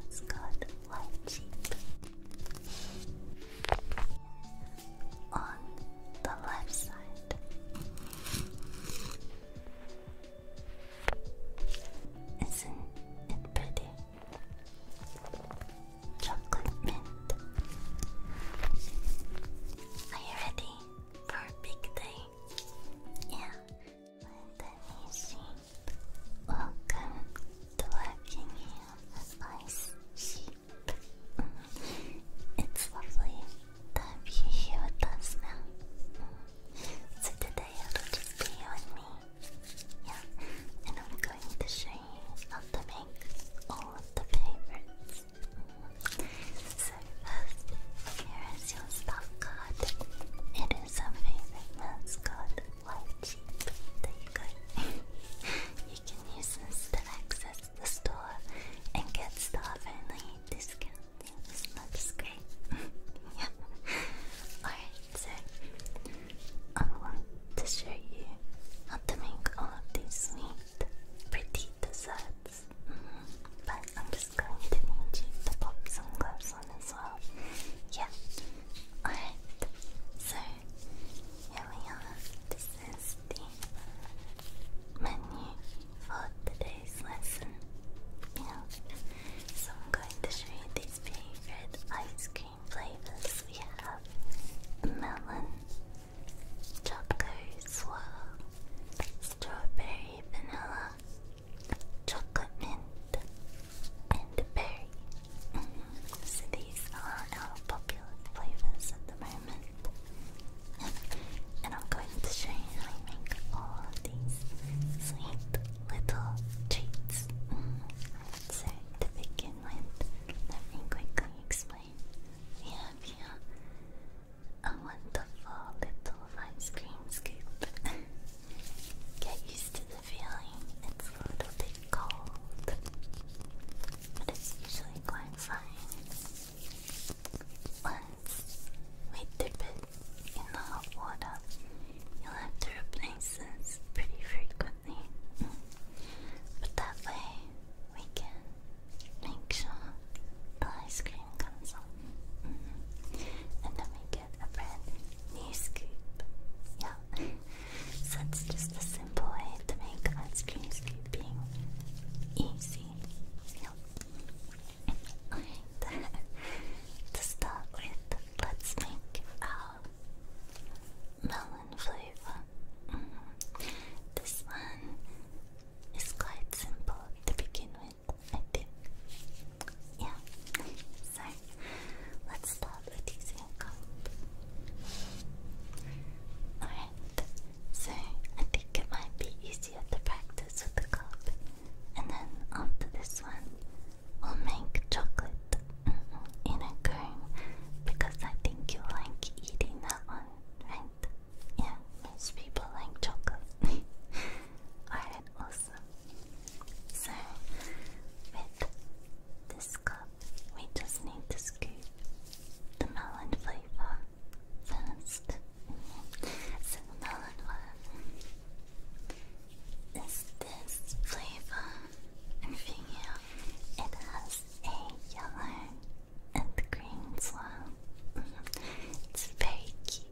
Let's go to white On the left side. Isn't it pretty? Chocolate mint. Are you ready? perfect day. Yeah. Indonesian. Welcome to working here as ice sheep. Mm. it's lovely to have you here with us now. Mm. So today it'll just be you me. Yeah, and I'm going to show you how to make all the favorites. So first, here is your stuff card. It is a favorite mascot, White Sheep. There you you can use this to access the store and get stuff only discount. This great. yeah. Alright, so I want to show you how to make all of these sweet, pretty desserts. But I'm just going to need you to pop some gloves on as well. Yeah. Alright. So here we are. This is the menu for today's lesson. Yeah. So I'm going to show you these favorite ice cream flavors we have. Melon Choco swallow, strawberry vanilla, chocolate mint, and berry. Mm-hmm. So these are our popular flavors at the moment. and I'm going to show you how I make all of these sweet little treats. Mm-hmm. So to begin with, let me quickly explain. We have here a wonderful little ice cream scoop. Get used to the feeling, it's a little bit cold, but it's usually quite fine. Once we dip it in the hot water, you'll have to replace this pretty frequently. But that way, we can make sure the ice cream comes on. Mm-hmm. And then we get a brand new scoop. Yeah. so it's just a simple way to make ice cream scooping easy. Alright. to start with, let's make our melon flavor. Mm-hmm. This one it's quite simple to begin with, I think. Yeah, so let's start with using a Alright, so I think it might be easier to practice with the cup. And then after this one, we'll make chocolate mm-hmm, in a cone because I think you like eating that one, right? Yeah, most people like chocolate. Alright, awesome. So, with this cup, we just need to scoop the melon flavor first. So, melon one is this flavor, and here it has a yellow and the green slime. it's very cute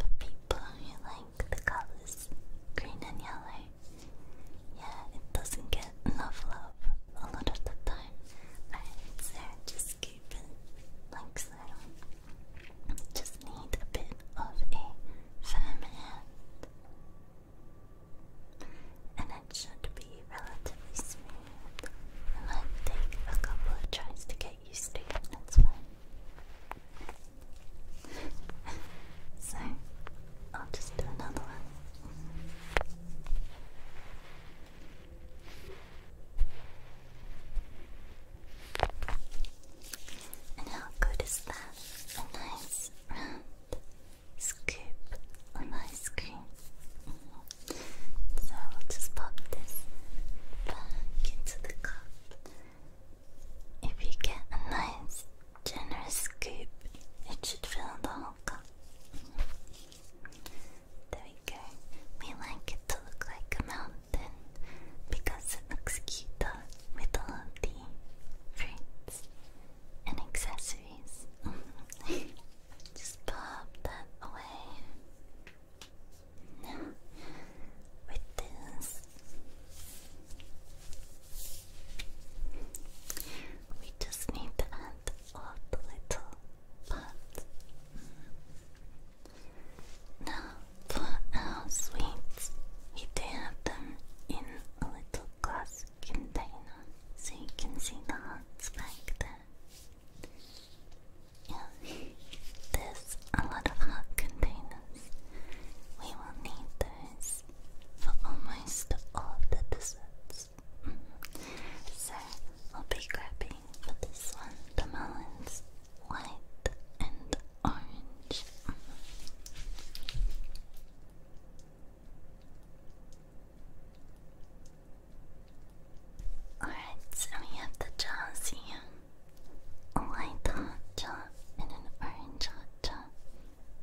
for people who like the colors green and yellow. Yeah, it doesn't get enough love a lot of the time. Alright, so just keep it like so. Just need a bit of a firm And it should relatively smooth. It might take a couple of tries to get used to it, that's fine. so, I'll just do another one. And how good is that? A nice round scoop of ice cream. So I will just pop this back into the cup. If you get a nice, generous scoop, it should fill the whole cup. There we go. We like it to look like a mountain because it looks cute with all of the fruits and accessories. Just pop that away. With this, we just need to add all little pots. Now, for our sweets, we do have them in a little glass container, so you can see the hearts back there. Yeah, there's a lot of hot containers. We will need those for almost all of the desserts. Mm So we'll be grabbing for this one the melons, white and orange. Alright, so we have the jaws here. A white hot and an orange hot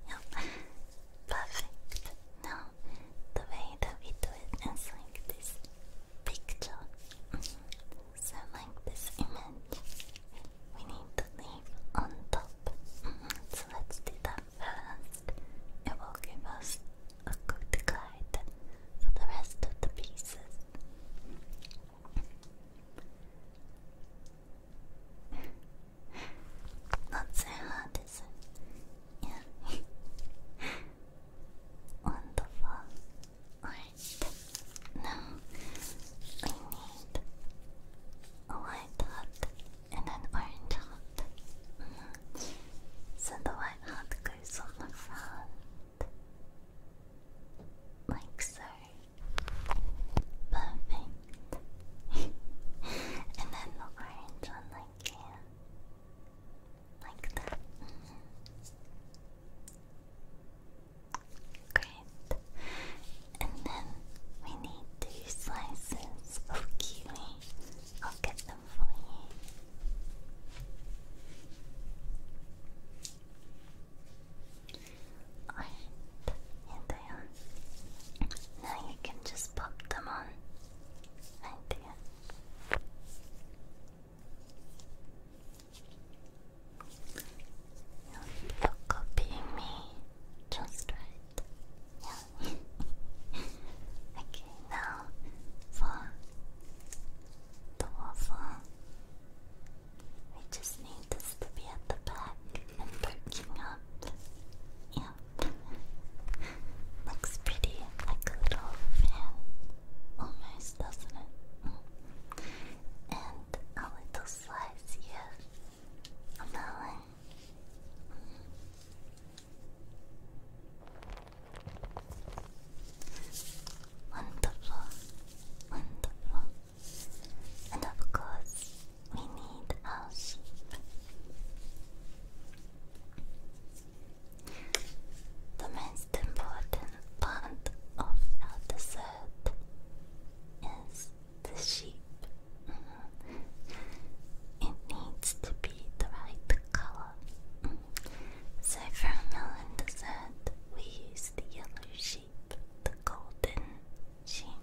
Yep. Perfect. Now, the way that we do it is like this picture. Mm-hmm. So, like this image, we need the leaf on top. Mm-hmm. So, let's do that first. It will give us a good guide for the rest of the pieces. Not so hard, is it? Yeah. Wonderful. Alright. Now we need a white heart and an orange heart. Mm-hmm. So the white heart goes on the front. Like so. Perfect. and then the orange one like here. Like that. Mm-hmm. Great. And then we need two slices of kiwi. I'll get them for you. Alright, here they are. Now you can just pop them on. Right there. You're copying me just right. Okay, now for the waffle, we just need this to be at the back and perking up. Yeah, looks pretty like a little fan, almost, doesn't it? And a little slice here on that Wonderful, wonderful. And of course, we need our sheep. The most important part of our dessert is the sheep. Mm-hmm. It needs to be the right color. Mm-hmm. So from now on the set, we use the yellow sheep, the golden sheep.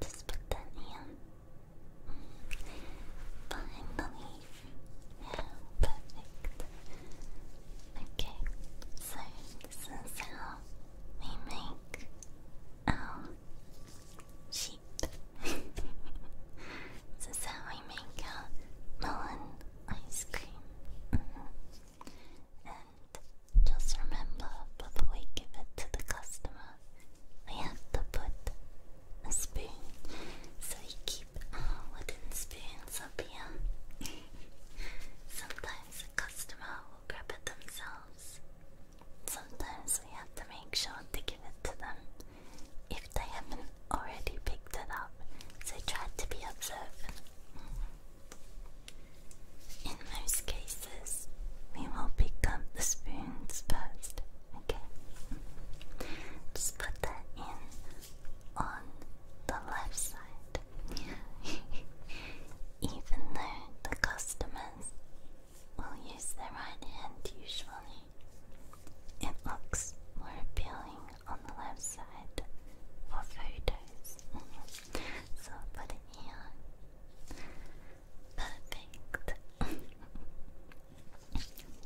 Just put that in behind perfect. Okay, so this is how we make our sheep. this is how we make out melon ice cream. Mm-hmm. And just remember before we give it to the customer, we have to put a spoon. So we keep wooden spoons up here. Sometimes the customer will grab it themselves. Sometimes we have to make sure to give it to them if they haven't already picked it up, so try to be observant. In most cases, we will pick up the spoons first, okay? Just put that in on the left side. Even though the customers we will use the right hand usually. It looks more appealing on the left side for photos. so put it here. Perfect.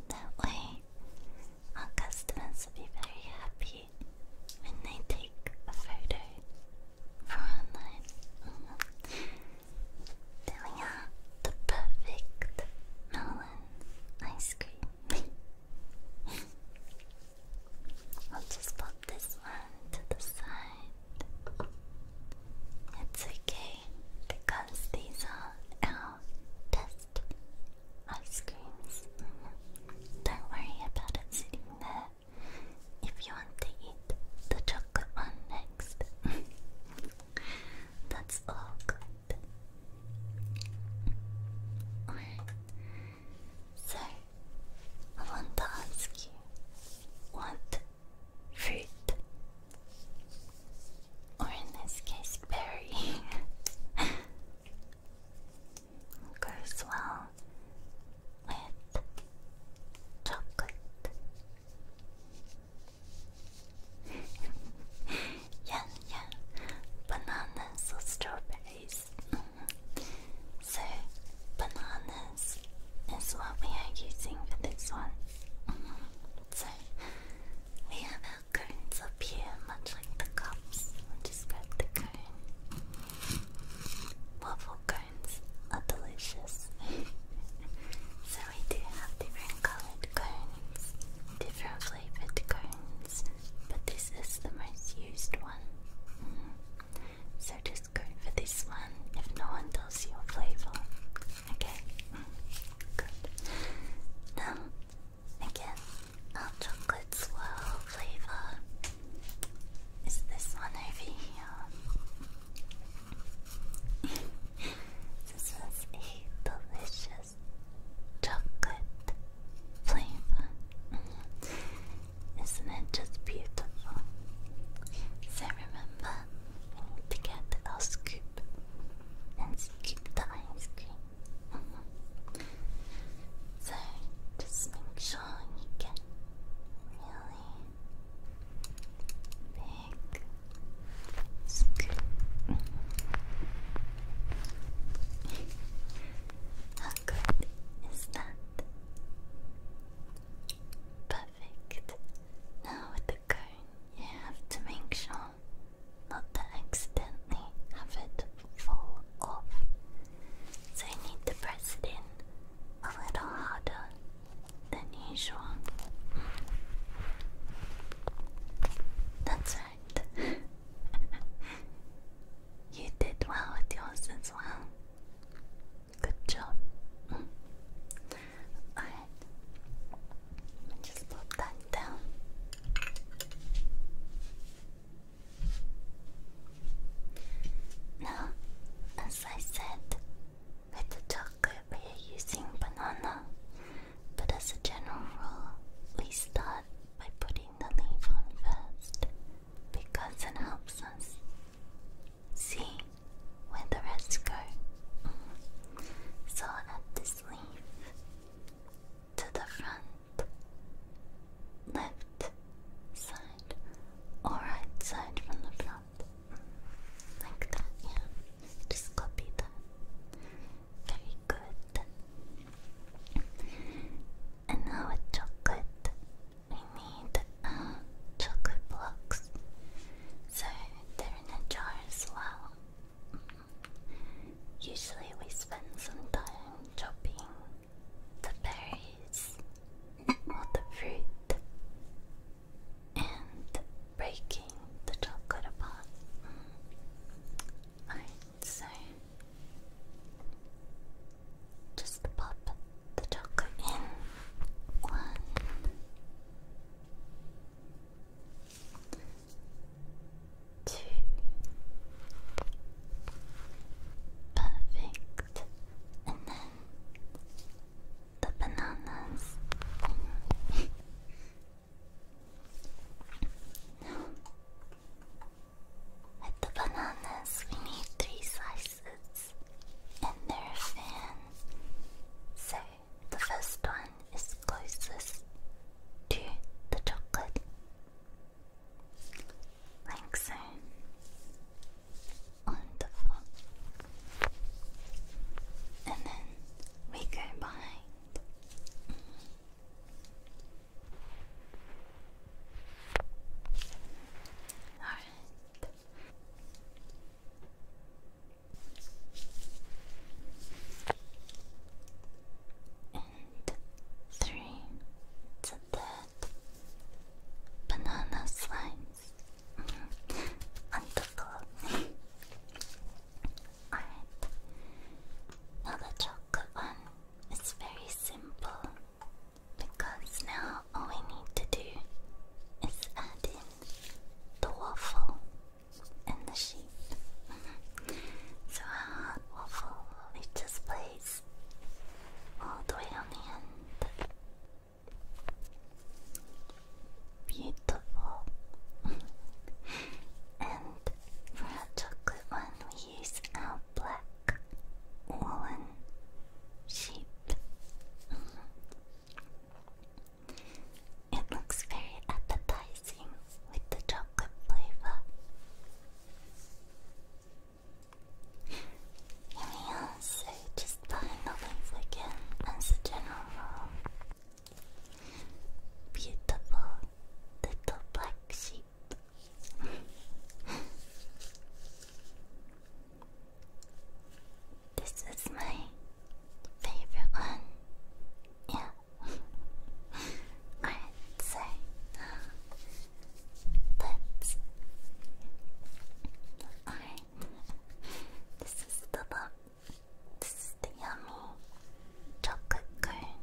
that way, our customers will be very happy when they take a photo for online. There we the perfect melon ice cream. I'll just pop this one to the side. It's okay because these are our best ice creams. Mm-hmm. Don't worry about it sitting there if you want to eat the chocolate one next. That's all so, I want to ask you what fruit, or in this case, berry, goes well with chocolate? yeah, yeah. Bananas or strawberries. so, bananas is what we are using for this one. so, we have our cones up here, much like the cups. just grab the cone. Waffle cones are delicious. so we do have different colored cones, different flavored cones, but this is the most used one. Mm. So just go for this one if no one tells you your flavor. Okay? Mm. Good. Now, again, our chocolate swirl flavor is this one over here. This is a delicious chocolate flavor. Isn't it just beautiful? So remember, we need to get our scoop and scoop the ice cream. So just make sure you get really big how good is that? Perfect. Now with the cone, you have to make sure not to accidentally have it fall off. So you need to press it in a little harder 你说，嗯，That's right. you did well with yours as well. Good job. Alright. just put that down. Now, as I said, with the chocolate we are using banana but as a general rule, we start by putting the leaf on first because it helps us see where the rest go. So I'll add this leaf to the front, left side, or right side from the front. Like that, just copy that. Very good. And now with chocolate, we need uh, chocolate blocks. So they're in a jar as well. Usually we spend some time chopping the berries or the fruit and breaking the chocolate apart. Mm. so just pop the chocolate in. One. Two. Perfect. And then the bananas. With the bananas, we need three slices, and they're thin. So the first one is closest to the chocolate, like so. Wonderful. And then we go by Alright. And three to that banana slimes on Alright. Now the chocolate one is very simple because now all we need to do is add in the waffle and the sheep. so our hot waffle we just place all the way on the end. Beautiful. and for our chocolate one, we use our black woolen sheep. it looks very appetizing with the chocolate flavor. Here we are, so just buy nothings again as a general rule. Beautiful little black sheep. this is my favorite one. Yeah. Alright, so let's. Alright. This is the box. This is the yummy chocolate cone.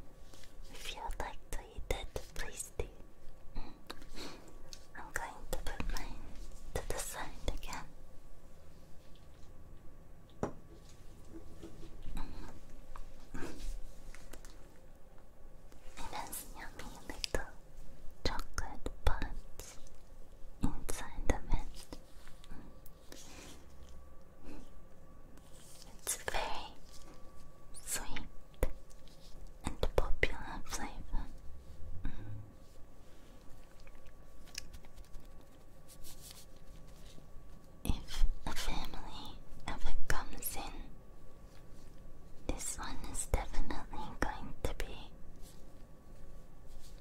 If you would like to eat it, please do. Mm. I'm going to put mine to the side again. Mm. it has yummy little chocolate buds inside the it. It's a very sweet and popular flavor. Mm. If a family ever comes in, this one is definitely going to be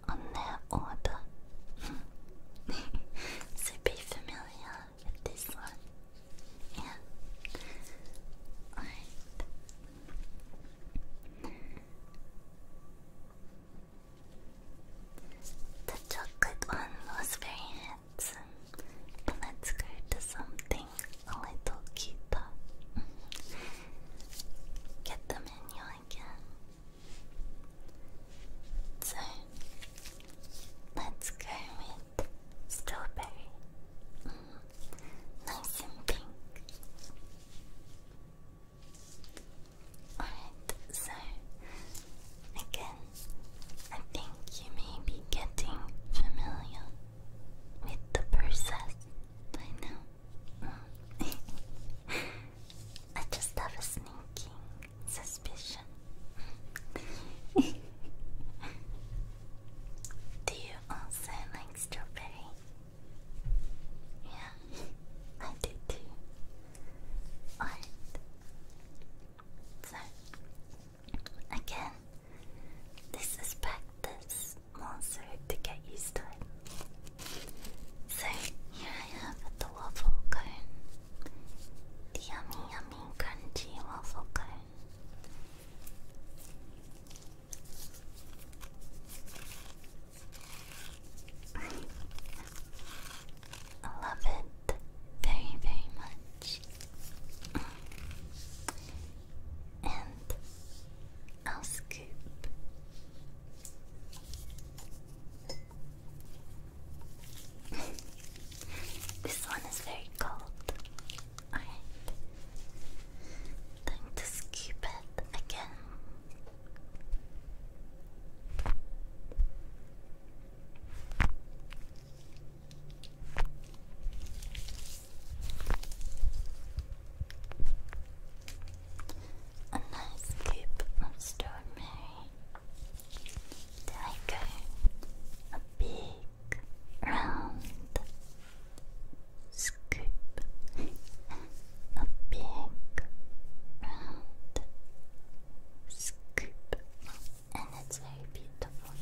on their order. so be familiar with this one. Yeah. Alright. The chocolate one was very handsome. But let's go to something a little cuter. Get the menu again. So let's go with strawberry. Mm-hmm. nice and pink. Alright, so again, I think you may be getting familiar with the process by now. Mm. I just have sneaking Suspicion. Do you also like strawberry? Yeah, I do too. Alright. So, again, this is practice monster to get used to it. So here I have the waffle cone, the yummy, yummy, crunchy waffle cone. I love it very, very much. and I'll scoop this one is very cold. Alright. Time to scoop it again a nice scoop of strawberry. Tiger, a big round scoop, a big round scoop, and it's very beautiful.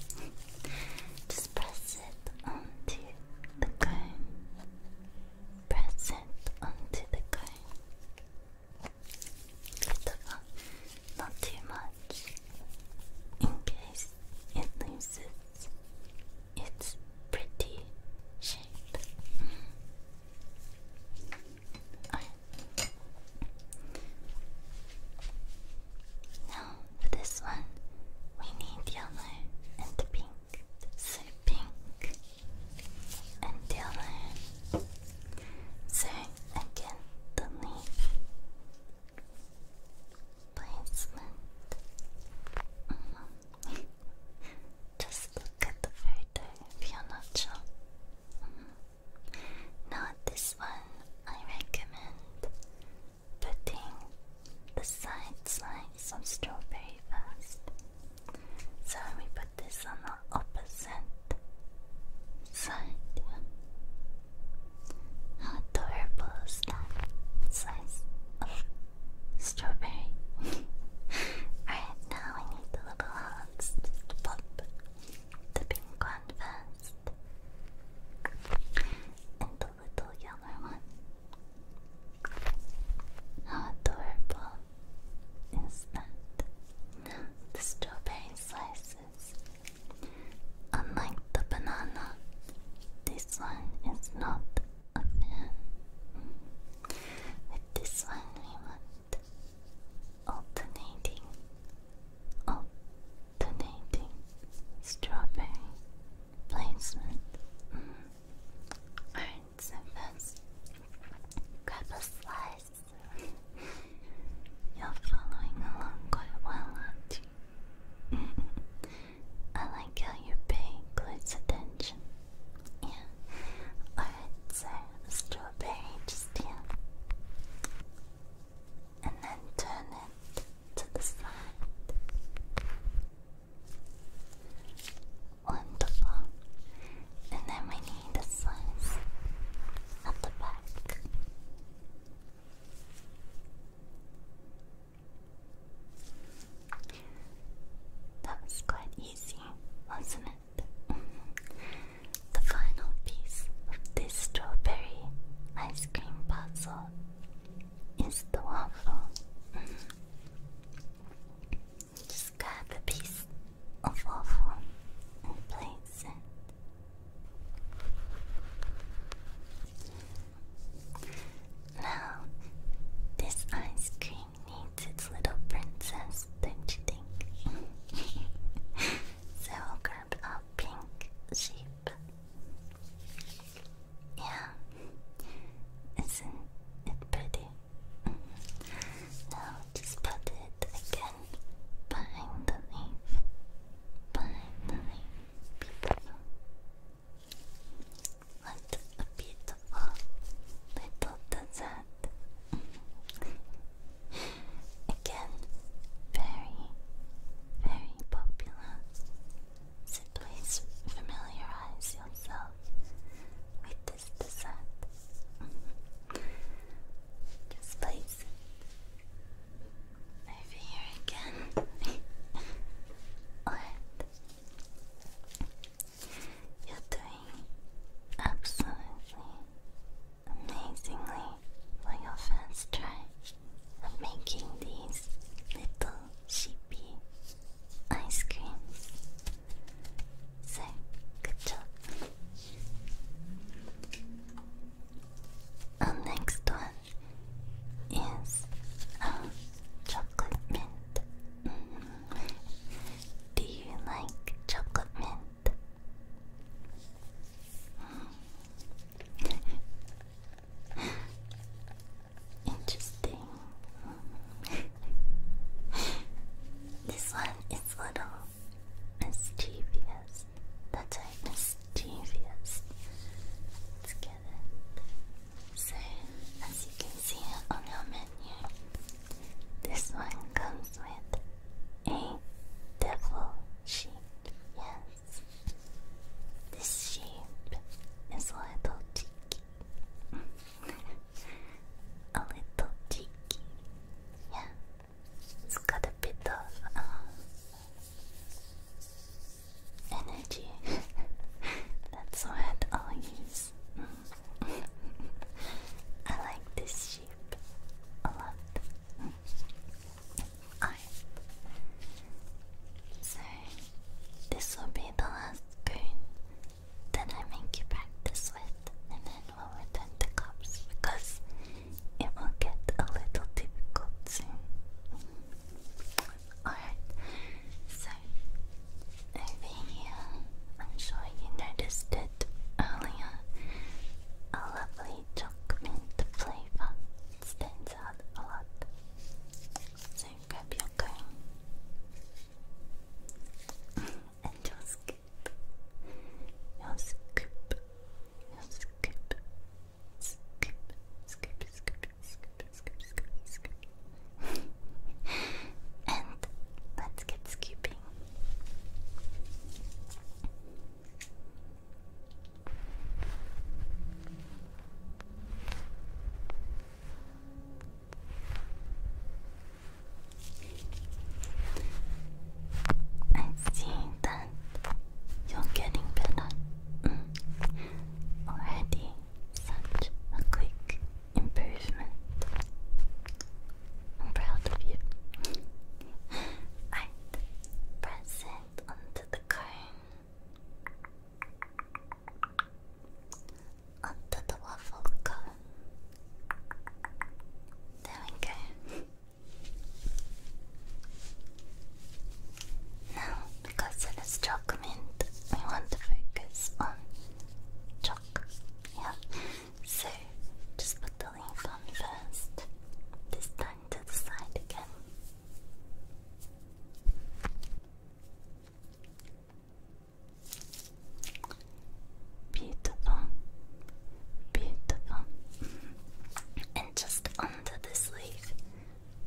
Just press it onto the cone. Press it onto the cone. But uh, not too much, in case it loses its pretty shape. Right. Mm. Now for this one, we need yellow and pink. So pink and Dylan. Sir again the placement. Mm-hmm. Just look at the photo if you're not sure. Mm this one I recommend putting the side slice on strawberry first. So we put put this on the opposite side. How adorable that size of oh, strawberry? Alright, now I need the little hands to pop the pink one first. And the little yellow one. How adorable is that? the strawberry slices. Unlike the banana, this one is not a With this one, we want alternating, alternating strawberry placement. Mm. Alright, first. Grab a slice. You're following along quite well, aren't you? I like how you pay close attention. Yeah. Alright, so strawberry just here. And then turn it to the side. Wonderful. And then we need a slice at the back. That was quite easy, wasn't it? The final piece of this strawberry ice cream puzzle is the waffle. Just grab a piece of waffle and place it. Now, this ice cream needs its little princess, don't you think? so will grab our pink sheep. Yeah, isn't it pretty? Now just put it again behind the leaf. Behind the leaf. What a beautiful little desert. again, very, very popular. So familiarize yourself with just place it over here again. Alright. You're doing absolutely amazingly for your first try of making these little sheepy ice creams. So, good job. Our next one is um, chocolate mint. Mm-hmm. Do you like chocolate mint? Mm-hmm. Interesting. this one is little Mischievous. That's right, mischievous. Let's get it. So, as you can see on your menu, this one comes with a devil sheep. Yes. This sheep is a little cheeky. a little cheeky. Yeah, it's got a bit of uh, energy. That's what i use. I like this shape a lot. Mm. So, this will be the last spoon that I make you practice with, and then we'll return the cups because it will get a little difficult soon. Alright, so over here, I'm sure you noticed it earlier. A lovely chocolate flavor stands out a lot. So grab your comb and you'll skip. You'll skip. You'll skip. Skip, skip, skip, skip, skip, skip, skip. and let's get skipping. I see that you're getting better. Mm. Already such a quick improvement. I'm proud of you. Right, press it onto the cone. Onto the waffle cone. There we go. Now, because it is chalk mint, we want to focus on chalk. Yeah. So, just put the link on first. This time to the side again. Beautiful. Beautiful. And just under this leaf,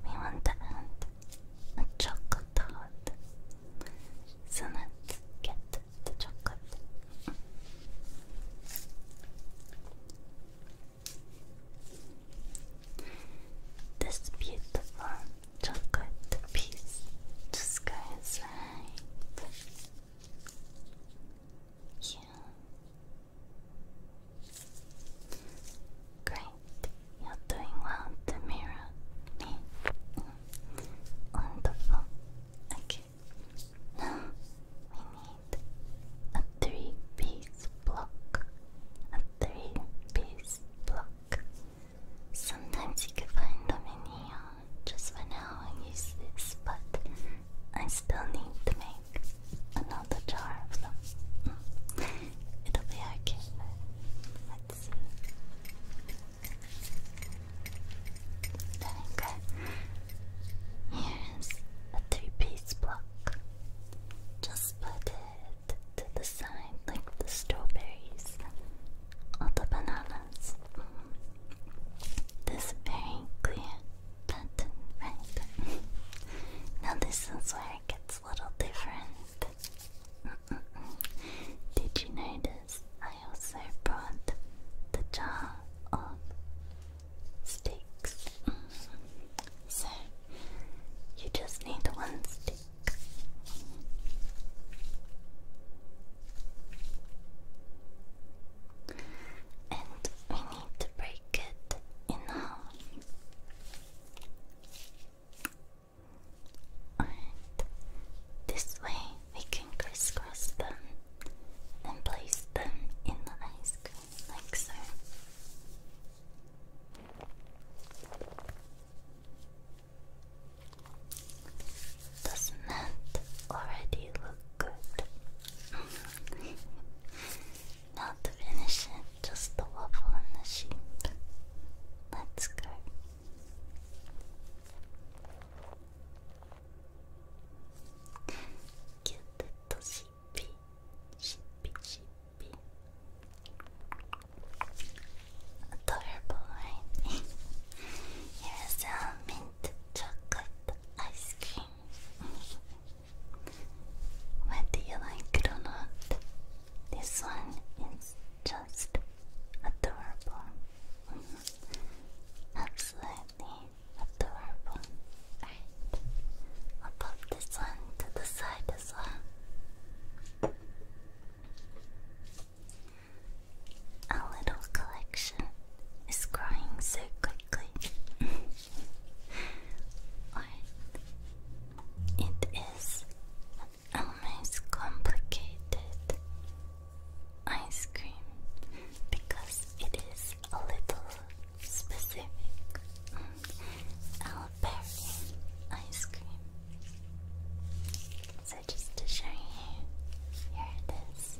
we want to add a chocolate So let's get the chocolate. This beautiful chocolate piece just goes right yeah. Great. You're doing well, Demira. Mm. Wonderful. Okay. Now we need a three-piece block. A three-piece block. Sometimes you can find them in here just for now I use this, but I still need to make another jar of them. Mm. It'll be okay. Let's see. There we Here's a three-piece block. Just put it to the side like the strawberries or the bananas. Mm this very clear button right now this is where it gets a little different did you notice I also brought the jar of sticks mm-hmm. so you just need one stick and we need to break it in half. Alright, this way we can crisscross them and place them in the ice cream like so. Doesn't it already look good? now to finish it, just the waffle and the sheep. Let's go. Cute little sheepy, sheepy, sheepy. Adorable, right? Here's a mini chocolate ice cream. Whether you like it or not, this one is just adorable. Absolutely adorable. Alright, I'll pop this one to the side as well. A little collection is growing so quickly. it is a most complicated ice cream because it is a little specific. Mm. ice cream just to show you, here it is.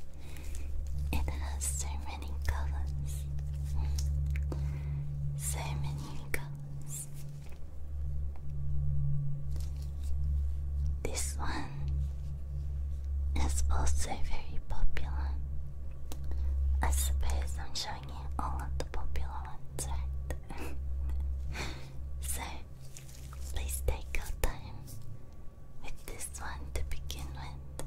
It has so many colors. So many colors. This one is also very popular. I suppose I'm showing you all of the popular ones, right? so please take your time with this one to begin with.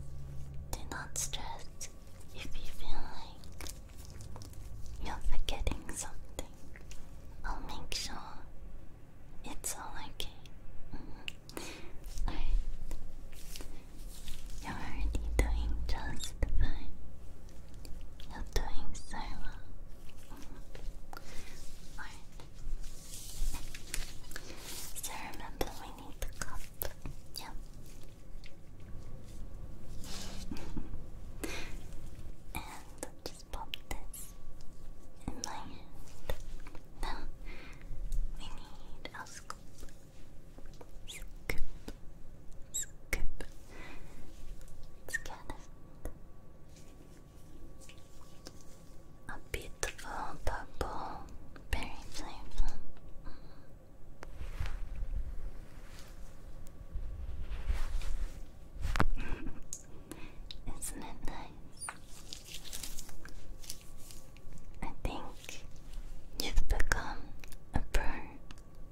Do not stress if you feel like you're forgetting something. I'll make sure it's all okay. Mm-hmm. You're already doing just fine. You're doing so well. Mm-hmm. So remember, we need the cup. Yep. and just pop this in my hand. Now we need a scoop. Scoop. Scoop. let a beautiful purple berry flavor. Mm-hmm. Isn't it nice? I think you've become a bird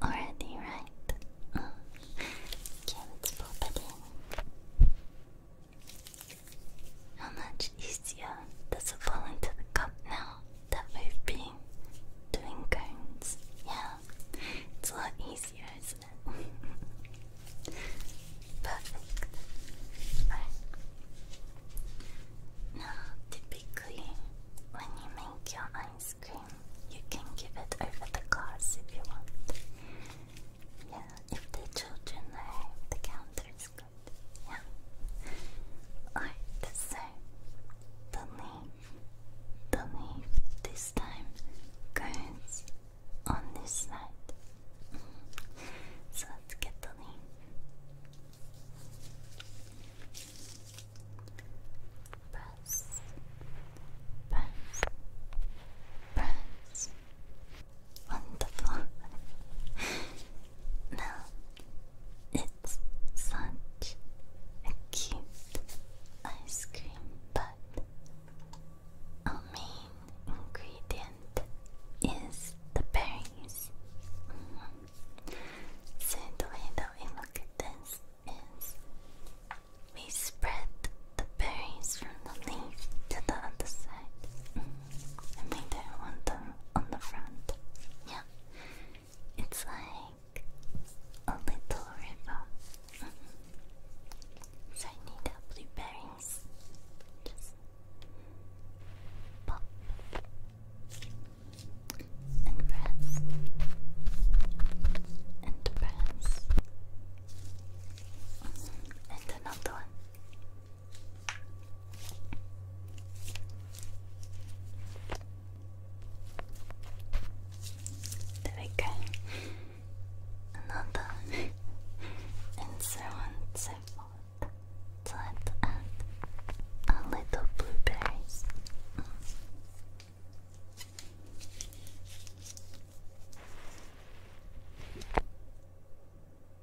already, right? Oh. Okay, let how much easier does it fall into the cup now that we've been doing cones? Yeah, it's a lot easier, isn't it? Perfect. Now, typically, when you make your ice cream, you can give it over the glass if you want. Yeah, if the children are the counter is good. Yeah. Or the The name. The name this time currents on this side. So let's get the name. Press, press, press, Wonderful. now, it's such a cute ice cream, but our main ingredient is the berries. Mm-hmm. So, the way that we look this is we spread the berries from the leaf to the other side. Mm-hmm and they don't want them on the front. Yeah, it's like a little river. Mm-hmm. So I need our blueberries. Just pop and press and press. Mm-hmm. And another one. 誰かあなた and so on and so forth let's add a little blueberries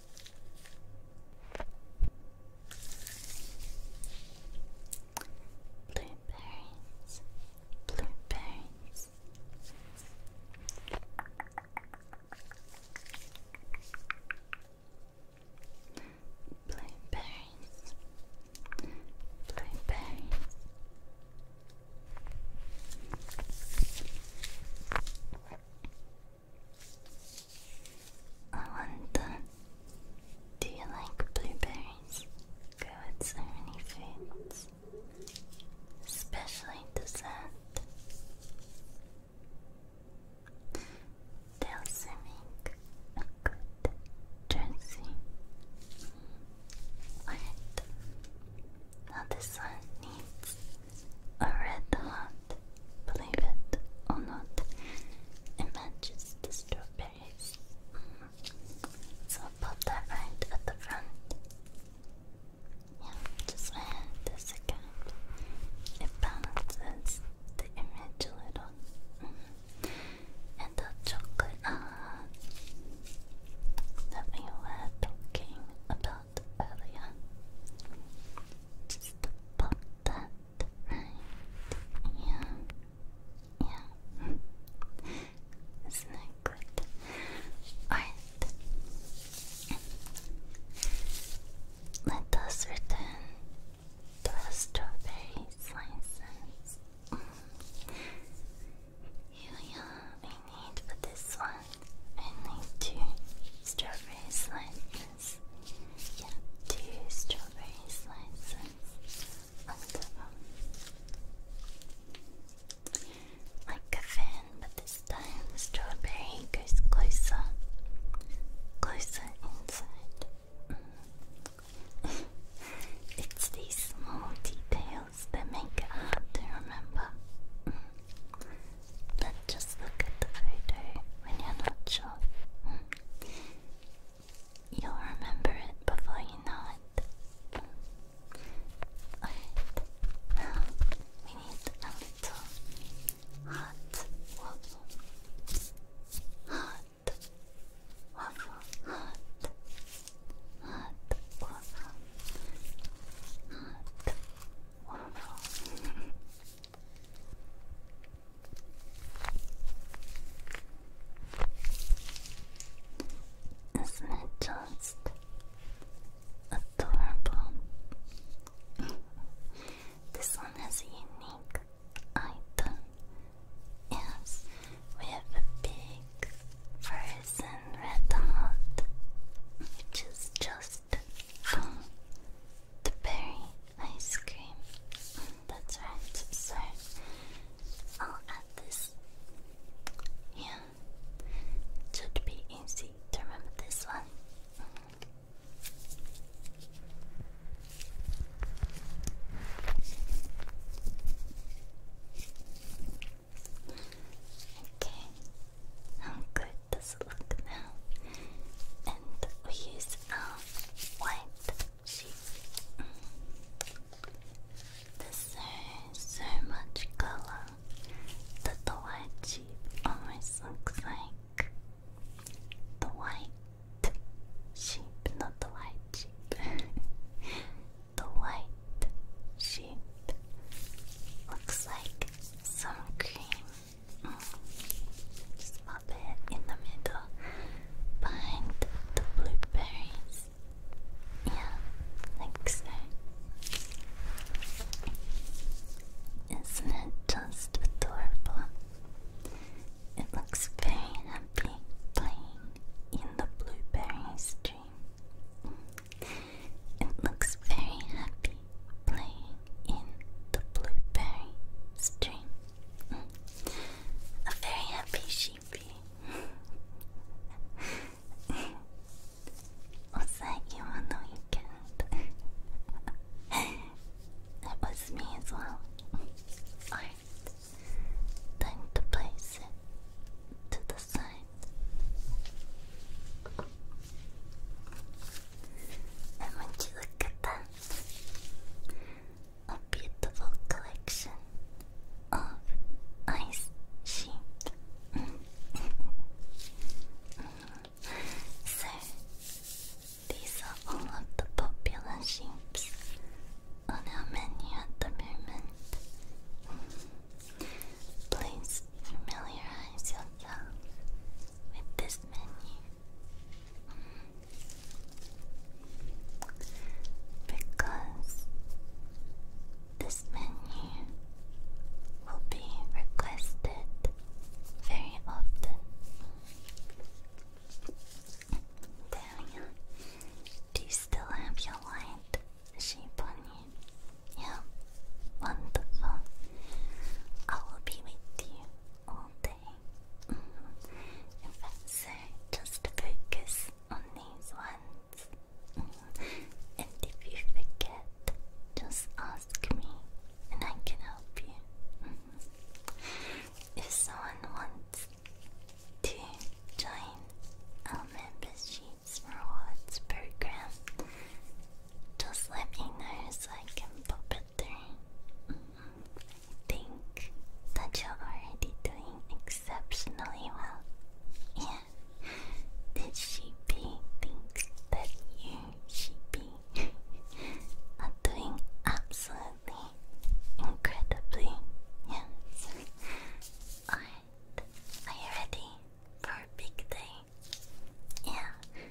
Blueberries, blueberries. Blueberries, blueberries. I wonder, do you like blueberries? Go with so many foods, especially dessert. They also make a good dressing. Wait, now this one needs a red hot Believe it or not, it the strawberries. Mm. So I'll that right at the front. Yeah, just add this again. It balances the image a little. Mm. And the chocolate uh, that we were talking about earlier. Just pop that right? Yeah. Yeah. Isn't good? Alright. Let us return the strawberry slices. Here we are. I need for this one. I need two strawberry slices. Yeah, two strawberry slices on Like a fan, but this time the strawberry goes closer, closer inside. it's these small details that make it hard to remember. Mm. But just look at the photo when you're not sure. You'll remember it before you know it. Alright, now we need a little hot waffle. Hot waffle, hot, hot waffle, hot waffle. Isn't it just adorable? this one has a unique item. Yes, we have a big frozen red heart, which is just the berry ice cream. That's right, so I'll add this. Yeah, should be easy to remember this one. Okay, how good look now. And we use our white sheet. Mm. There's so, much color that the white sheep almost looks like the white sheep, not the white sheep. the white sheep looks like some cream just pop in the middle behind the blueberries. Yeah, like so. Isn't it just adorable? It looks very happy playing in the blueberry stream. It looks very happy playing in the blueberry stream. A very happy sheepy. Was you on the weekend? that was me as well. Alright. Time to place it to the side. And once you look that, a beautiful collection of ice sheets. so, these are all of the popular shapes on our menu at the moment. Please familiarize yourself with this menu. Because this menu will be requested very often. There Do you still have your white sheep on you? Yeah, wonderful. I will be with you all day if that's it, just focus on these ones. and if you forget, just ask me and I can help you. if someone wants to join our membership rewards program, just let me know so I can pop Mm-hmm. I think that you're already doing exceptionally well. Yeah. Did she thinks that you she are doing absolutely incredibly yes. Alright. Are you ready for big day? Yeah.